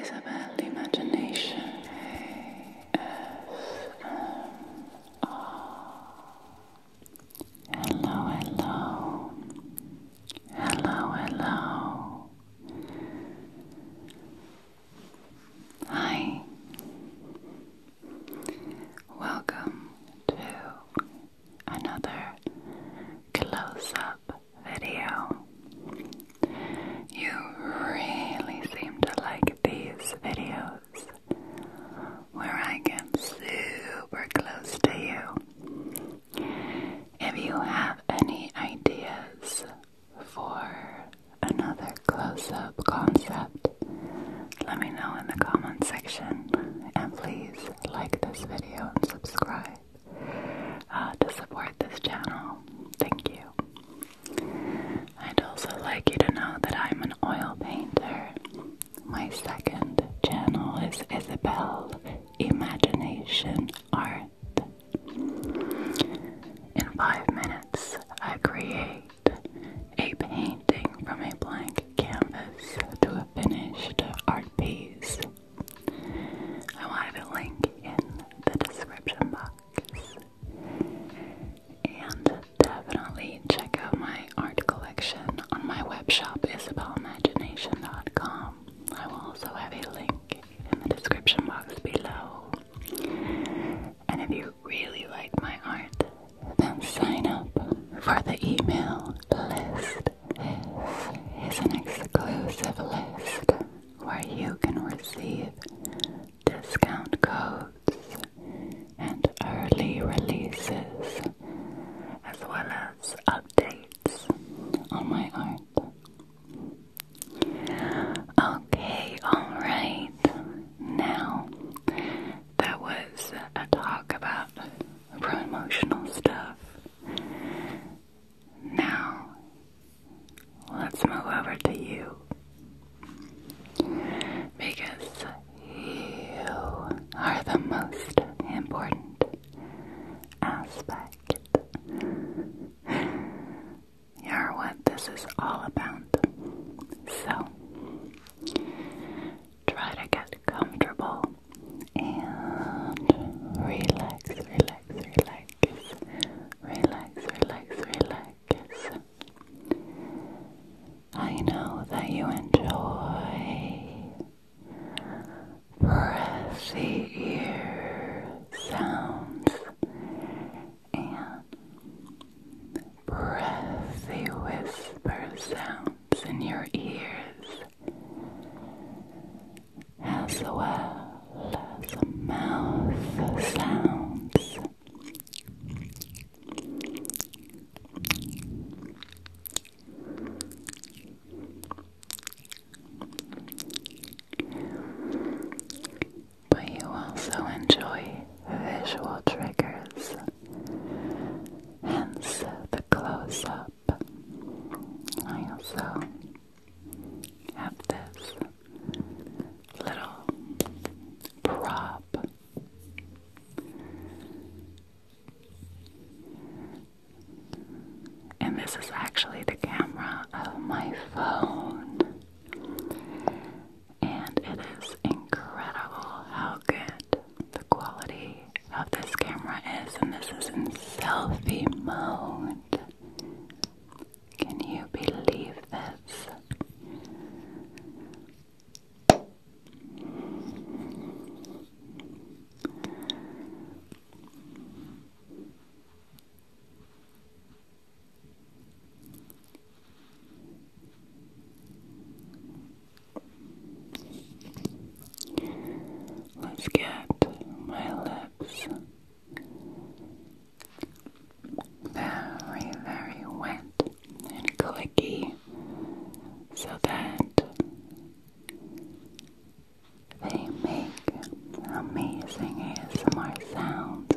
Isabel Imagination ASMR. Hello, hello, hello, hello. Hi, welcome to another close up video. You really seem to like these videos where I get super close to you. If you have any ideas for another close up concept, let me know in the comment section and please like this video and subscribe. Uh, to support this channel. Thank you. I'd also like you to know that I'm an oil painter. My second channel is Isabel Imagination Art. In five minutes, I create a painting from a blank canvas to a finished art piece. I wanted a link in the description box. And definitely check out my art collection on my web shop, isabeleimagination.com. I will also have a link in the description box below. And if you really like my art, then sign up for the email list. This is an exclusive list where you can receive discount codes and early releases, as well as updates on my art. Okay, alright. Now, that was a talk about promotional stuff. Now, let's move over to you. Because you are the most important aspect. You're what this is all about. So, try to get comfortable and relax, relax, relax, relax, relax, relax. I know that you enjoy breathy ear sounds and breathy whisper sounds in your ears as well as mouth sounds. But you also enjoy visual triggers, hence the close up I also have this little prop. And this is actually the camera of my phone. And it is incredible how good the quality of this camera is, and this is in selfie mode. Can you believe this? Let's get my lips very, very wet and clicky so that they make amazing ASMR sounds.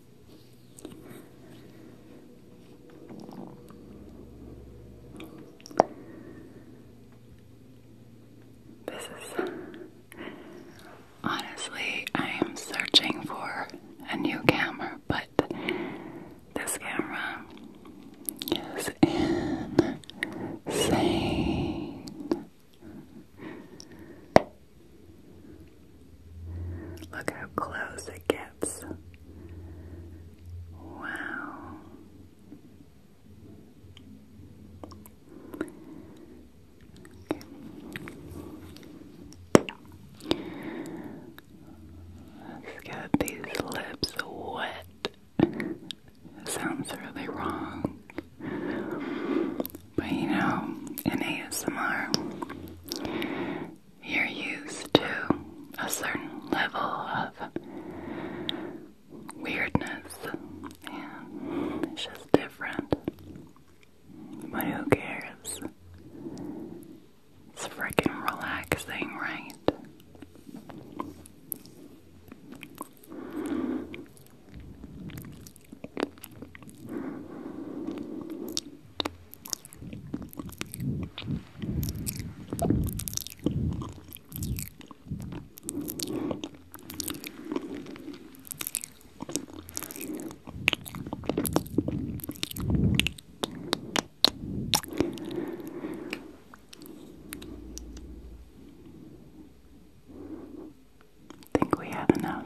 This is honestly, I am searching for a new camera, but this camera is insane. Look how close it gets. Wow. Let's get these lips wet. Sounds really wrong. But you know, in ASMR, you're used to a certain level of weirdness, and it's just different. But who cares? It's freaking relaxing, right? I think we had enough.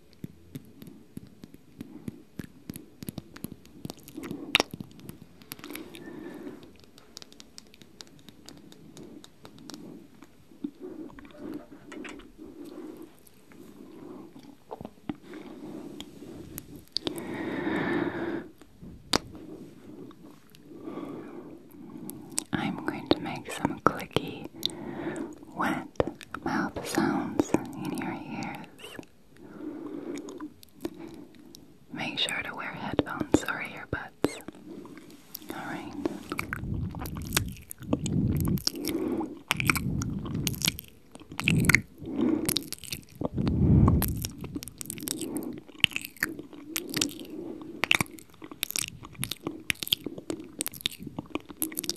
I'm going to make some clicky wet mouth sounds in your ears. Make sure to wear headphones or earbuds. Alright.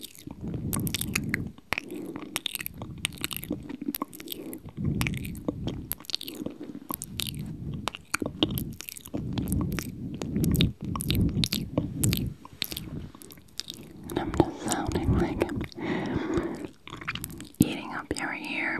And I'm just sounding like I'm eating up your ear.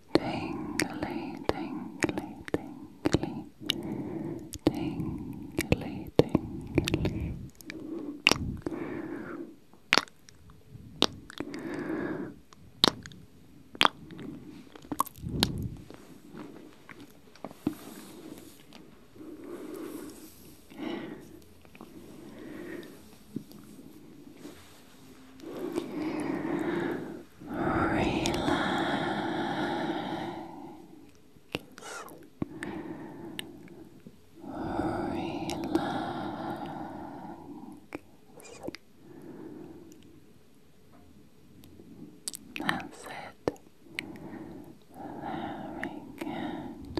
tingly, tingly, tingly, tingly, tingly. That's it. Very good.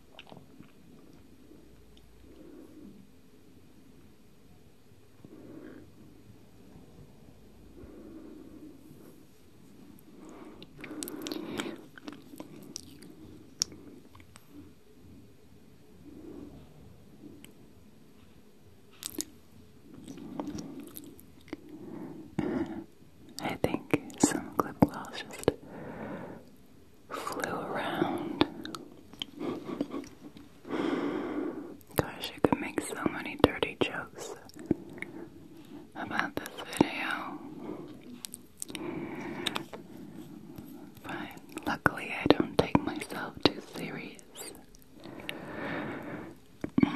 I think some clip gloss just flew around. Gosh, you could make so many dirty jokes about this video. But luckily, I don't take myself too serious. Because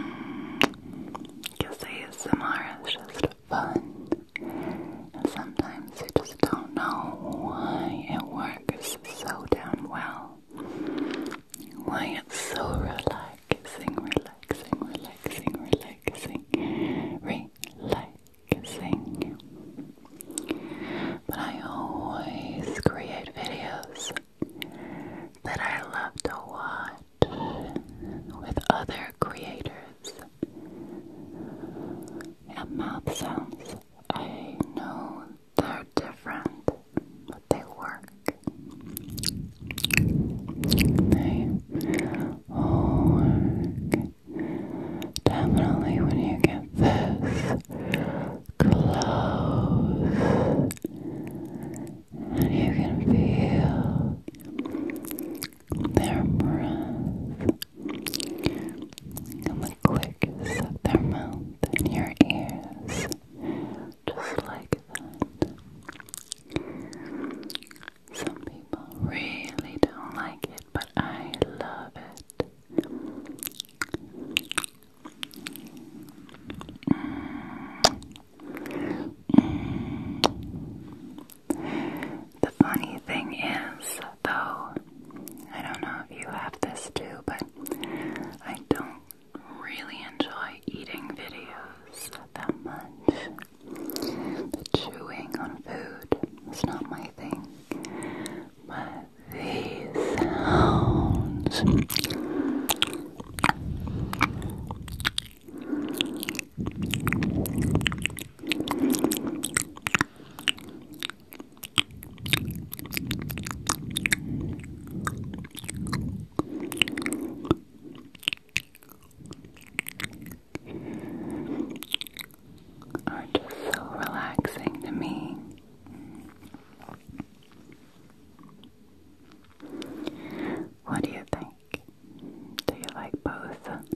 mm, ASMR is just fun. And sometimes I just don't know why it works so damn well. Why it's so relaxing, relaxing, relaxing, relaxing, relaxing. But I always create videos that I love to watch with other creators mouth sounds. I know they're different, but they work. They work. Definitely when you get this close, and you can feel their breath and the clicks of their mouth in your ears, just like that. Some people really don't like it, but I love it. The funny thing is, though, I don't know if you have this too, but I don't really enjoy eating videos that much. The chewing on food is not my thing, but these sounds are just so relaxing to me. What do you think? Do you like both?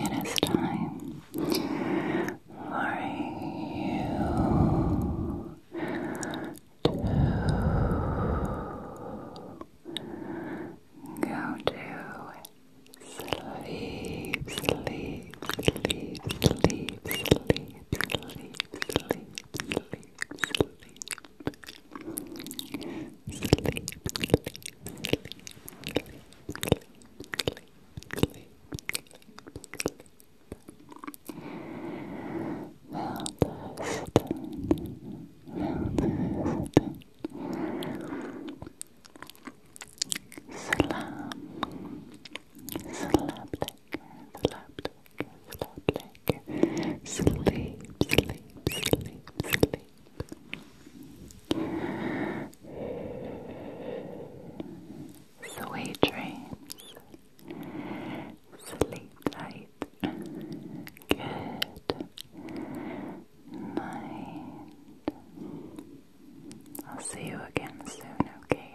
It is time for you to go to sleep, sleep, sleep, sleep, sleep, sleep, sleep, sleep, sleep, sleep, sleep, sleep, sleep, sleep. Sleep, sleep, Slap, slap, slap, slap, slap, sleep, sleep, sleep, sleep. Sweet dreams. Sleep tight. Good night. I'll see you again soon, okay?